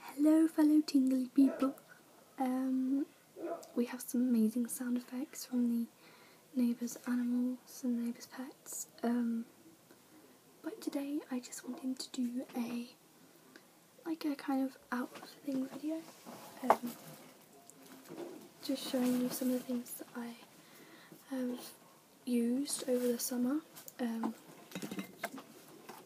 Hello, fellow tingly people. Um, we have some amazing sound effects from the neighbours' animals and neighbours' pets. Um, but today I just wanted to do a like a kind of out of the thing video. Um, just showing you some of the things that I have used over the summer. Um,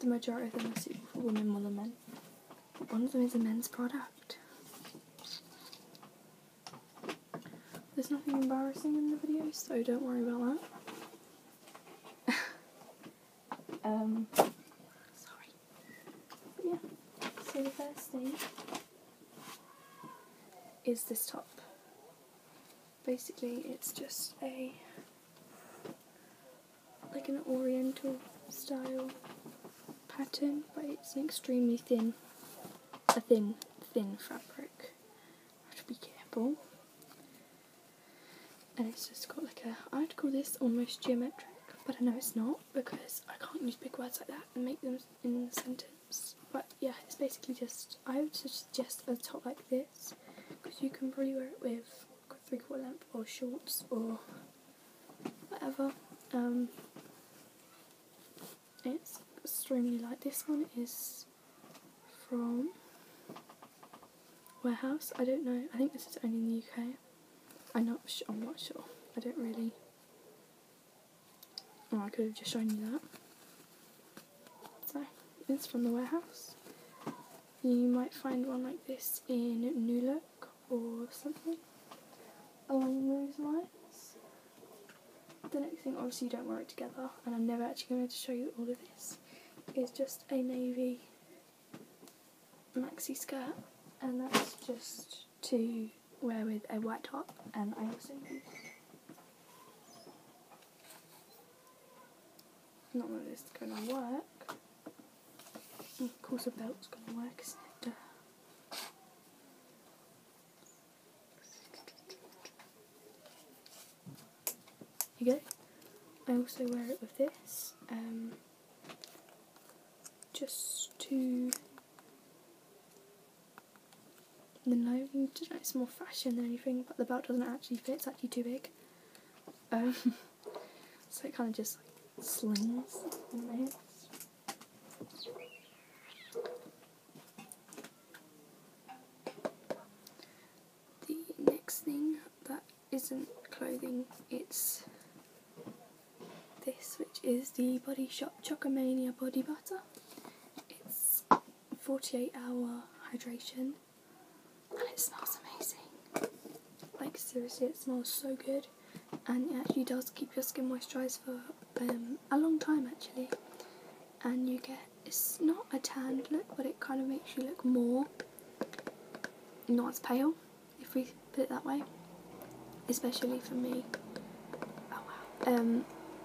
the majority of them are suitable for women more than men. one of them is a men's product. There's nothing embarrassing in the video, so don't worry about that. um, sorry. But yeah, so the first thing is this top basically it's just a like an oriental style pattern but it's an extremely thin a thin thin fabric have to be careful and it's just got like a I'd call this almost geometric but I know it's not because I can't use big words like that and make them in the sentence but yeah it's basically just I would suggest a top like this because you can probably wear it with three quarter length or shorts or whatever. Um, it's extremely light. This one is from Warehouse. I don't know. I think this is only in the UK. I'm not. sure. I don't really. Oh, I could have just shown you that. So, it's from the warehouse. You might find one like this in New Look or something along those lines. The next thing, obviously you don't wear it together, and I'm never actually going to show you all of this, is just a navy maxi skirt, and that's just to wear with a white top, and I also not that is going to work. Of course, a belt's going to work, you go. I also wear it with this, um, just to the it's more fashion than anything, but the belt doesn't actually fit, it's actually too big. so it kind of just slings The next thing that isn't clothing, it's this, which is the Body Shop Chocomania Body Butter. It's 48 hour hydration and it smells amazing. Like seriously, it smells so good, and it actually does keep your skin moisturised for um, a long time actually. And you get it's not a tanned look, but it kind of makes you look more not as pale, if we put it that way. Especially for me. Oh wow. Um,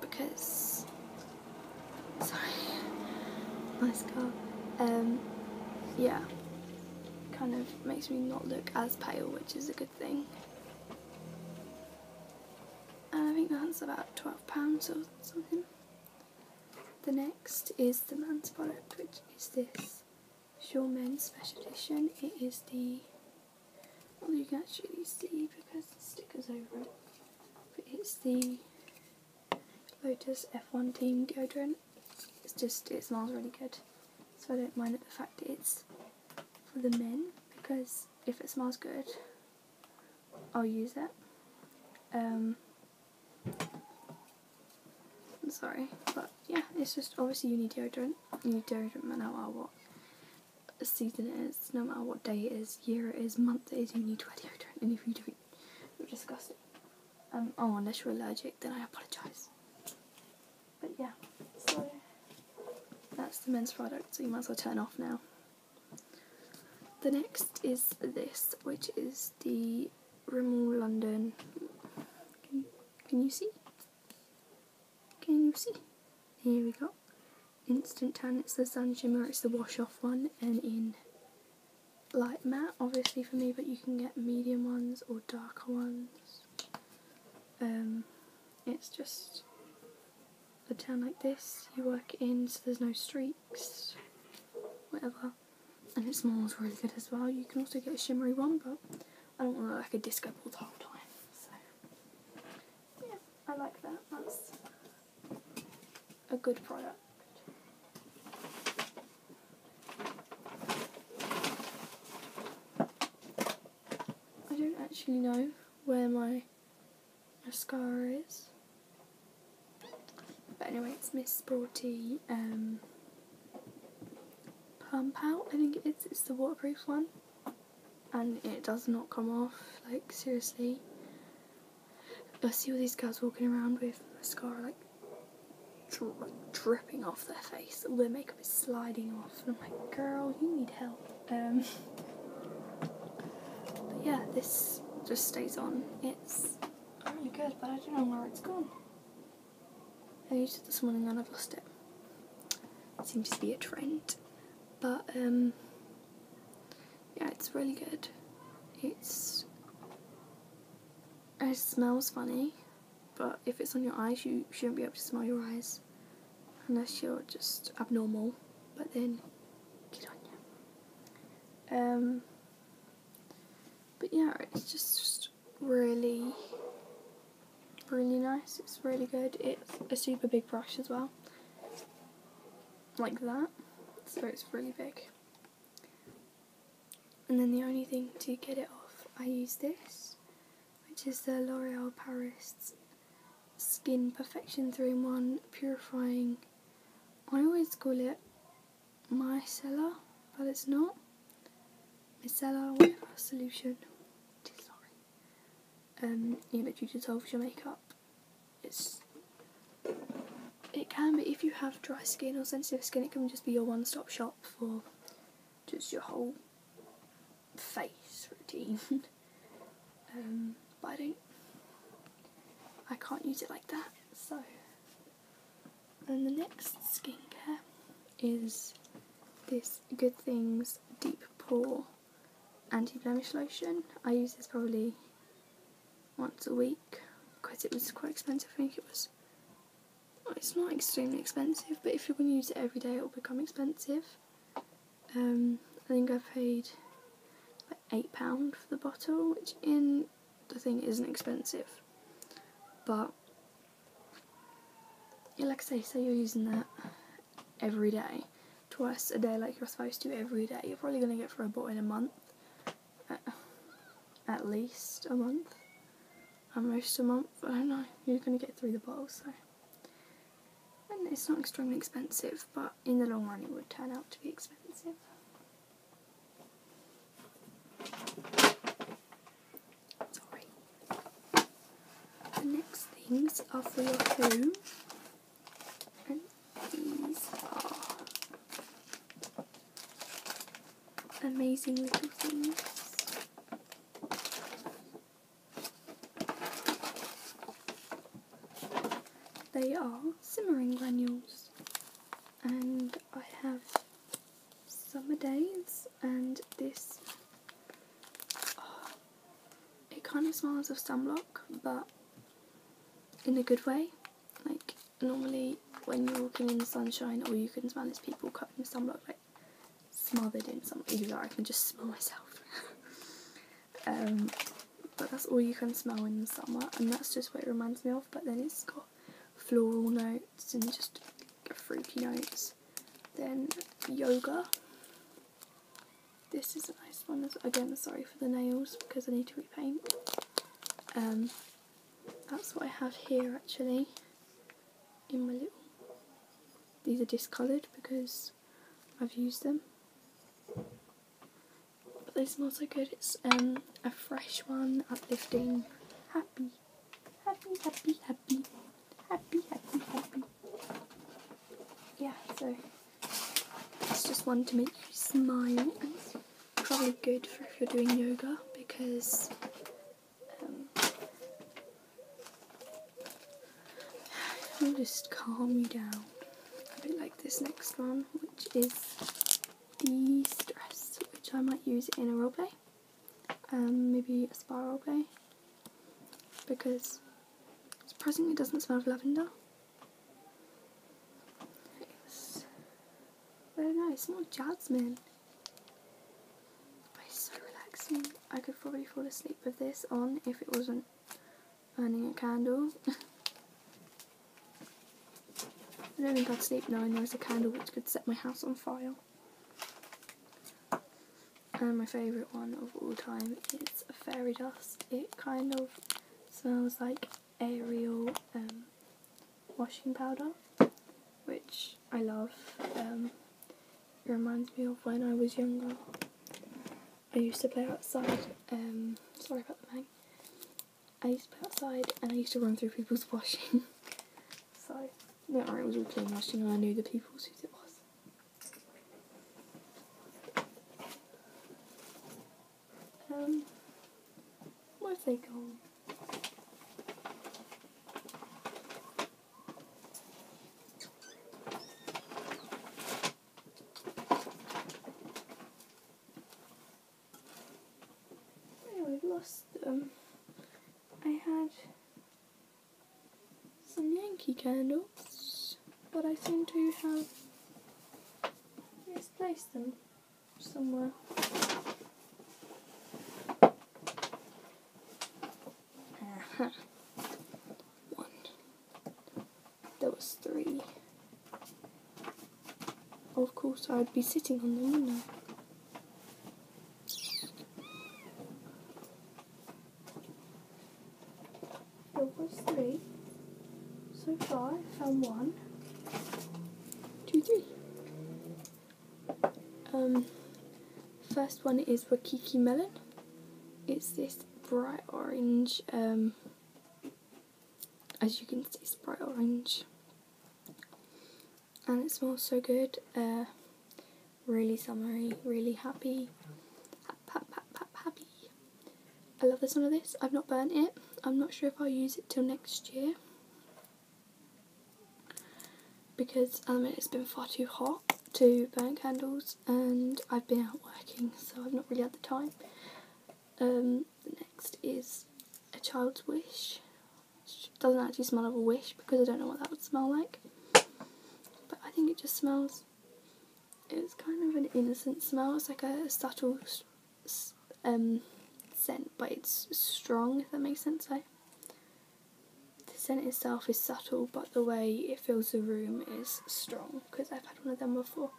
because Sorry. Nice car. Um, yeah. Kind of makes me not look as pale, which is a good thing. And I think that's about £12 or something. The next is the man's product, which is this Shaw Special Edition. It is the, well you can actually see because the sticker's over it, but it's the Lotus F1 Team deodorant. It's just, it smells really good. So I don't mind the fact it's for the men because if it smells good, I'll use it. Um, I'm sorry, but yeah, it's just obviously you need deodorant. You need deodorant no matter what season it is, no matter what day it is, year it is, month it is, you need to wear deodorant. And if you don't we You're disgusting. Um, oh, unless you're allergic, then I apologise. But yeah, so that's the men's product, so you might as well turn off now. The next is this, which is the Rimmel London. Can, can you see? Can you see? Here we go. Instant tan, it's the sun shimmer, it's the wash off one, and in light matte obviously for me but you can get medium ones or darker ones um, it's just a tan like this you work it in so there's no streaks whatever and it smells really good as well you can also get a shimmery one but I don't want to look like a disco ball the whole time so yeah I like that that's a good product. I don't actually know where my mascara is. But anyway, it's Miss Sporty um, Pump Out. I think it is. It's the waterproof one. And it does not come off, like, seriously. I see all these girls walking around with mascara like, dripping off their face, all their makeup is sliding off, I'm like, girl, you need help. Um, but yeah, this just stays on. It's really good, but I don't know where it's gone. I used it this morning and I've lost it. It seems to be a trend. But, um, yeah, it's really good. It's it smells funny, but if it's on your eyes, you shouldn't be able to smell your eyes unless you're just abnormal. But then, get on you. Um, but yeah, it's just really, really nice. It's really good. It's a super big brush as well, like that. So it's really big. And then the only thing to get it off, I use this, which is the L'Oreal Paris Skin Perfection 3-in-1 Purifying. I always call it micellar, but it's not. Micellar, whatever, solution. Sorry. Um, you literally dissolves your makeup it's it can be if you have dry skin or sensitive skin it can just be your one-stop shop for just your whole face routine um, but I don't I can't use it like that so and the next skincare is this Good Things Deep Pore Anti-Blemish Lotion I use this probably once a week because it was quite expensive. I think it was. it's not extremely expensive, but if you're going to use it every day, it'll become expensive. Um, I think I paid like eight pound for the bottle, which in the thing isn't expensive, but like I say, say you're using that every day, twice a day, like you're supposed to every day. You're probably going to get for a bottle in a month, at least a month, at most a month. I don't know. You're going to get through the bottle, so. it's not extremely expensive, but in the long run, it would turn out to be expensive. Sorry. The next things are for your home these are amazing little things. They are simmering granules, and I have summer days, and this. it kind of smells of sunblock, but in a good way. Like normally when you're walking in the sunshine, or you can smell these people covered in sunblock, like smothered in sunblock. Like, I can just smell myself. Um, but that's all you can smell in the summer, and that's just what it reminds me of. But then it's got floral notes and just fruity notes. Then yoga. This is it's a nice one. Again, sorry for the nails because I need to repaint. Um, that's what I have here actually in my little. These are discoloured because I've used them. But they smell so good. It's um, a fresh one, uplifting, happy, happy, happy, happy, happy, happy, happy. Yeah, so it's just one to make you smile. It's probably good for if you're doing yoga because um, it'll just calm you down. A bit like this next one, which is de-stress, which I might use in a role play, maybe a spiral role because surprisingly it doesn't smell of lavender. Nice. Very nice. More jasmine. it's so relaxing. I could probably fall asleep with this on if it wasn't burning a candle. I don't think I'd sleep now. There's a candle which could set my house on fire. And my favourite one of all time is fairy dust. It kind of smells like Ariel um, washing powder, which I love. Um, it reminds me of when I was younger. I used to play outside. Um, sorry about the bang. I used to play outside and I used to run through people's washing. so, no, I was all clean washing and I knew the people who did it um, where's they going? Anyway, I've lost them. I had some Yankee candles but I seem to have misplaced them somewhere. Aha. One. There was three. Of course, I'd be sitting on them, would there was three. So far, I found one, two, three. Um, first one is Wakiki Melon. It's this bright orange, um, as you can see, it's bright orange. And it smells so good. Uh, really summery, really happy. Hap, hap, happy. I love the smell of this. I've not burnt it. I'm not sure if I'll use it till next year because I um, mean it's been far too hot to burn candles and I've been out working so I've not really had the time. Um, the next is A Child's Wish. doesn't actually smell of a wish because I don't know what that would smell like. But I think it just smells, it's kind of an innocent smell. It's like a subtle um, scent, but it's strong, if that makes sense. Like, the scent itself is subtle, but the way it fills the room is strong because I've had one of them before.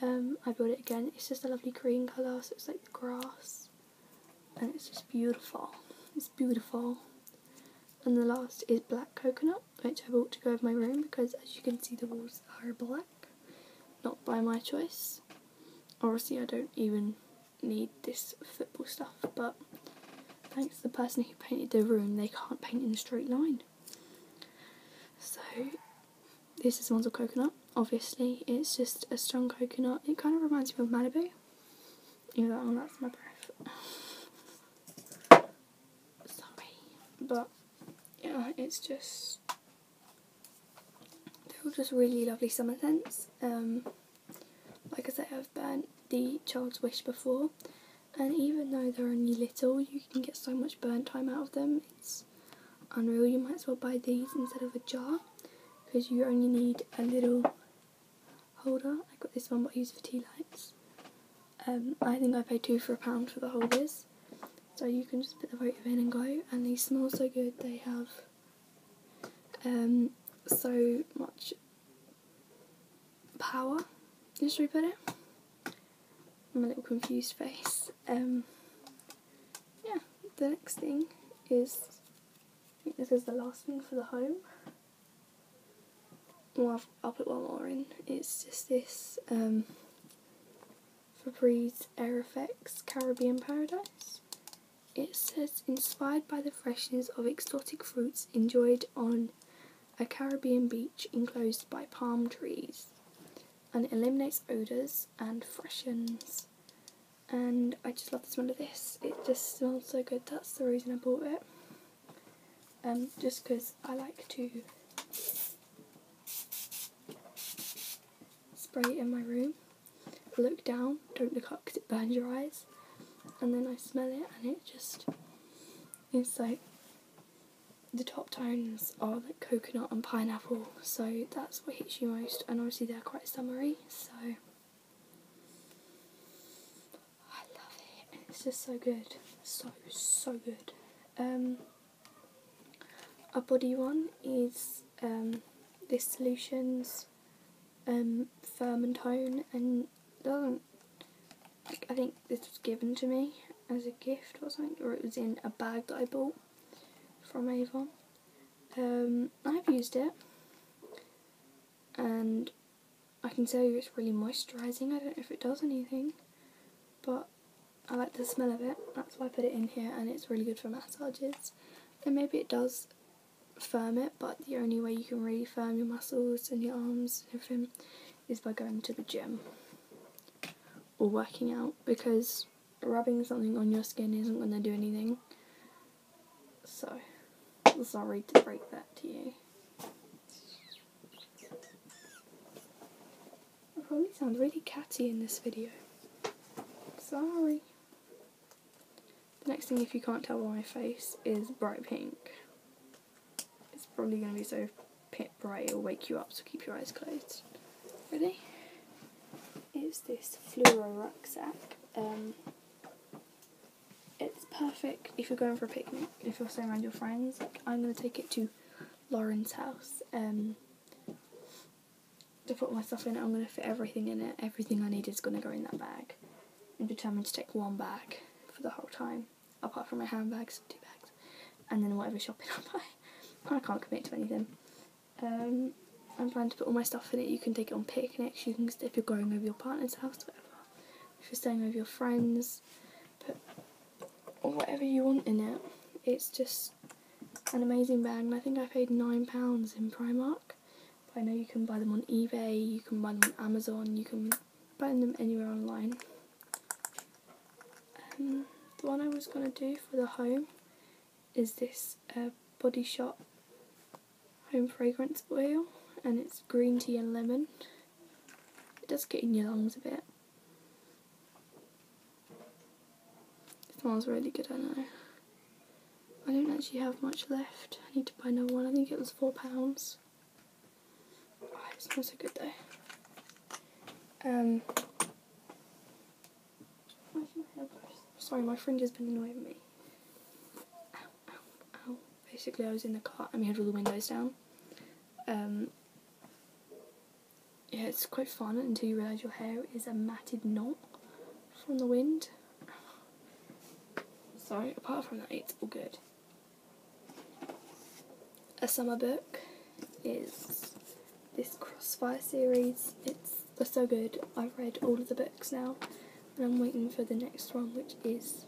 Um, I bought it again. It's just a lovely green colour, so it's like the grass, and it's just beautiful. It's beautiful. And the last is black coconut which I bought to go over my room because as you can see the walls are black, not by my choice. Obviously I don't even need this football stuff but thanks to the person who painted the room they can't paint in a straight line. So this is Monzel coconut. Obviously it's just a strong coconut. It kind of reminds me of Malibu. Even though oh, that's my breath. Sorry. But yeah, it's just they're all just really lovely summer scents. Um, like I said, I've burnt the Child's Wish before, and even though they're only little, you can get so much burn time out of them. It's unreal. You might as well buy these instead of a jar, because you only need a little holder. I got this one, but I use for tea lights. Um, I think I paid two for a pound for the holders. So you can just put the votive in and go. And these smell so good. They have um, so much power. Should we it? I'm a little confused face. Um, yeah, the next thing is, this is the last thing for the home. Well, i will put one more in. It's just this um, Febreze Effects Caribbean Paradise. It says, inspired by the freshness of exotic fruits enjoyed on a Caribbean beach enclosed by palm trees. And it eliminates odours and freshens. And I just love the smell of this. It just smells so good. That's the reason I bought it. Um, just because I like to spray it in my room. look down, don't look up because it burns your eyes. And then I smell it and it just it's like the top tones are like coconut and pineapple, so that's what hits you most. And obviously they're quite summery, so I love it. It's just so good, so so good. Um, a body one is um, this solution's um, firm and tone and doesn't I think this was given to me as a gift or something or it was in a bag that I bought from Avon. Um, I've used it and I can tell you it's really moisturising. I don't know if it does anything but I like the smell of it, that's why I put it in here and it's really good for massages. And maybe it does firm it, but the only way you can really firm your muscles and your arms and everything is by going to the gym or working out because rubbing something on your skin isn't going to do anything. So, sorry to break that to you. I probably sound really catty in this video. Sorry. The next thing, if you can't tell by my face, is bright pink. It's probably going to be so bright it'll wake you up, so keep your eyes closed. Ready? It's this fluoro rucksack. Um, it's perfect if you're going for a picnic, if you're staying around your friends. I'm going to take it to Lauren's house. Um, to put my stuff in it, I'm going to fit everything in it. Everything I need is going to go in that bag. I'm determined to take one bag for the whole time, apart from my handbags, two bags, and then whatever shopping I buy. I can't commit to anything. Um, I'm planning to put all my stuff in it. You can take it on picnics. You can, if you're going over your partner's house, whatever. If you're staying over your friends, put or whatever you want in it. It's just an amazing bag and I think I paid £9 in Primark. But I know you can buy them on eBay, you can buy them on Amazon, you can buy them anywhere online. Um, the one I was going to do for the home is this uh, Body Shop Home Fragrance Oil and it's green tea and lemon. It does get in your lungs a bit this one's really good, I know. I don't actually have much left. I need to buy another one. I think it was £4. Oh, it's not so good though. Um, Sorry, my fringe has been annoying me. Basically, I was in the car and we had all the windows down. Um, yeah, it's quite fun until you realise your hair is a matted knot from the wind. Sorry, apart from that, it's all good. A summer book is this Crossfire series. It's they're so good. I've read all of the books now, and I'm waiting for the next one, which is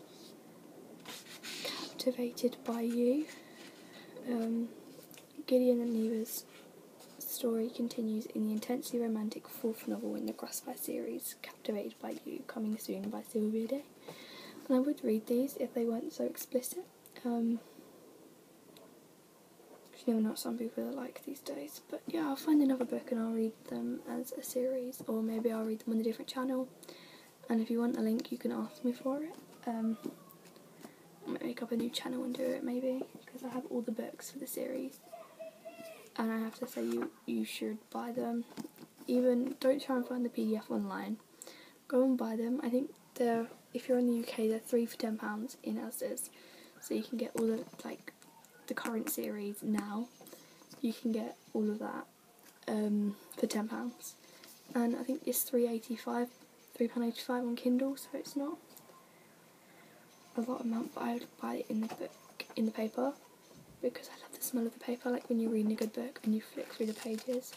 Captivated by You. Um, Gideon and Neva's story continues in the intensely romantic fourth novel in the Grassfire series, Captivated by You, coming soon by Sylvia Day. And I would read these if they weren't so explicit. Um, you know what some people like these days. But yeah, I'll find another book and I'll read them as a series, or maybe I'll read them on a different channel and if you want a link you can ask me for it. Um, I might make up a new channel and do it maybe because I have all the books for the series and I have to say you, you should buy them. Even don't try and find the PDF online. Go and buy them. I think they're if you're in the UK they're three for ten pounds in Asda's. So you can get all the like the current series now. You can get all of that um, for ten pounds, and I think it's three eighty five, three pound eighty five on Kindle, so it's not a lot of money. but I would buy it in the book in the paper because I love the smell of the paper. Like when you're reading a good book and you flick through the pages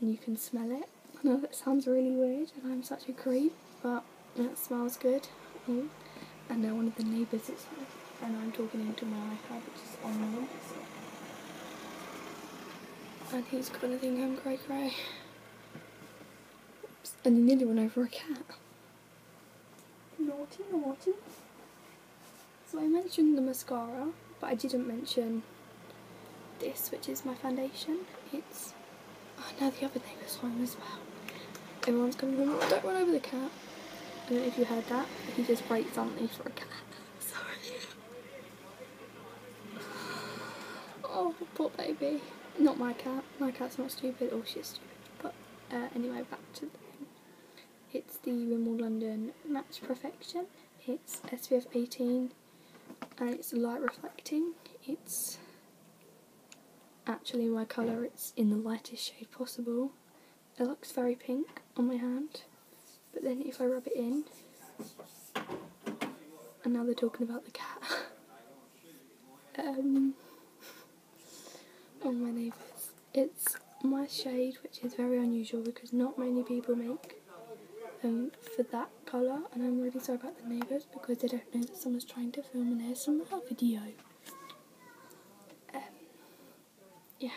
and you can smell it. I know that sounds really weird, and I'm such a creep, but it smells good. And now one of the neighbours is here, and I'm talking into my iPad, which is on my and he's going to think I'm grey, grey. And he nearly went over a cat. Naughty, naughty. So I mentioned the mascara, but I didn't mention this, which is my foundation. It's... Oh, no, the other neighbour's one as well. Everyone's coming home. Don't run over the cat. I don't know if you heard that, he just breaks something for a cat. Sorry. Oh, poor baby. Not my cat. My cat's not stupid. Oh, she's stupid. But uh, anyway, back to the thing. It's the Rimmel London Match Perfection. It's SPF 18 and it's light reflecting. It's actually my colour. It's in the lightest shade possible. It looks very pink on my hand. But then if I rub it in, and now they're talking about the cat. um, on my neighbours. It's my shade, which is very unusual because not many people make um, for that colour. And I'm really sorry about the neighbours because they don't know that someone's trying to film an ASMR video. Um, yeah,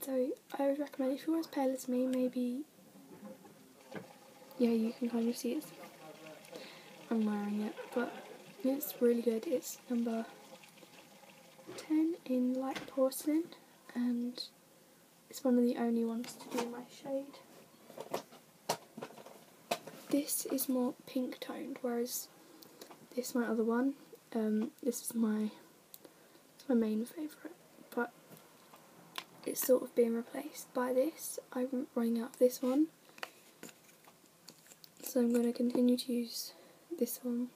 so I would recommend if you're as pale as me, maybe yeah, you can kind of see it. I'm wearing it, but it's really good. It's number 10 in light porcelain, and it's one of the only ones to do my shade. This is more pink toned, whereas this my other one. Um, this is my it's my main favourite, but it's sort of being replaced by this. I'm running out of this one, so I'm going to continue to use this one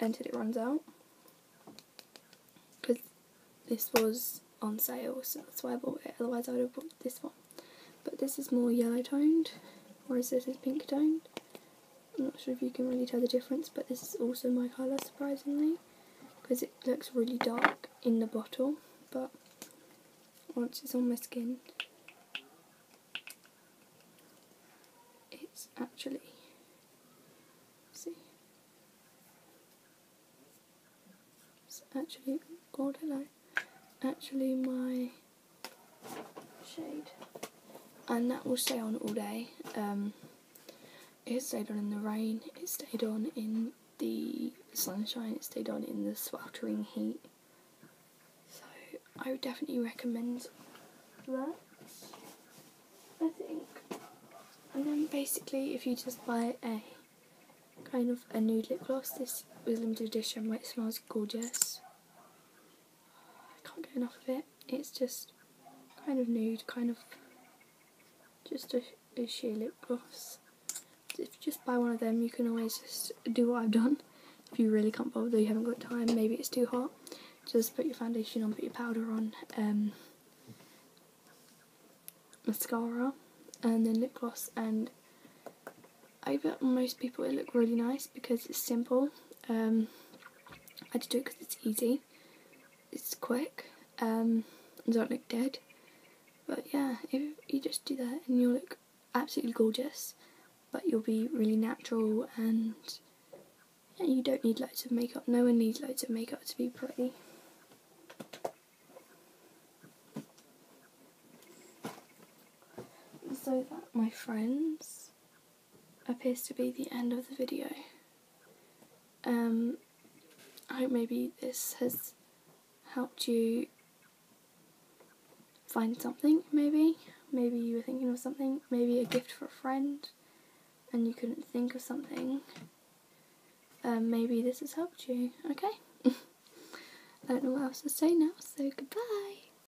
until it runs out. Because this was on sale, so that's why I bought it. Otherwise, I would have bought this one. But this is more yellow toned, whereas this is pink toned. I'm not sure if you can really tell the difference, but this is also my colour, surprisingly, because it looks really dark in the bottle, but once it's on my skin, it's actually, see, it's actually, God hello, actually my shade. And that will stay on all day. Um, it stayed on in the rain, it stayed on in the sunshine, it stayed on in the sweltering heat. So I would definitely recommend that. I think. And then basically if you just buy a kind of a nude lip gloss, this was limited edition, but it smells gorgeous. I can't get enough of it. It's just kind of nude, kind of just a, sheer lip gloss. If you just buy one of them, you can always just do what I've done. If you really can't bother, you haven't got time, maybe it's too hot, just put your foundation on, put your powder on, um, mascara, and then lip gloss, and I bet most people it look really nice because it's simple. Um, I just do it because it's easy, it's quick, um, and don't look dead. But yeah, if you just do that and you'll look absolutely gorgeous, but you'll be really natural and you don't need loads of makeup. No one needs loads of makeup to be pretty. So that, my friends, appears to be the end of the video. Um, I hope maybe this has helped you find something, maybe. Maybe you were thinking of something, maybe a gift for a friend, and you couldn't think of something. Um, maybe this has helped you, okay? I don't know what else to say now, so goodbye!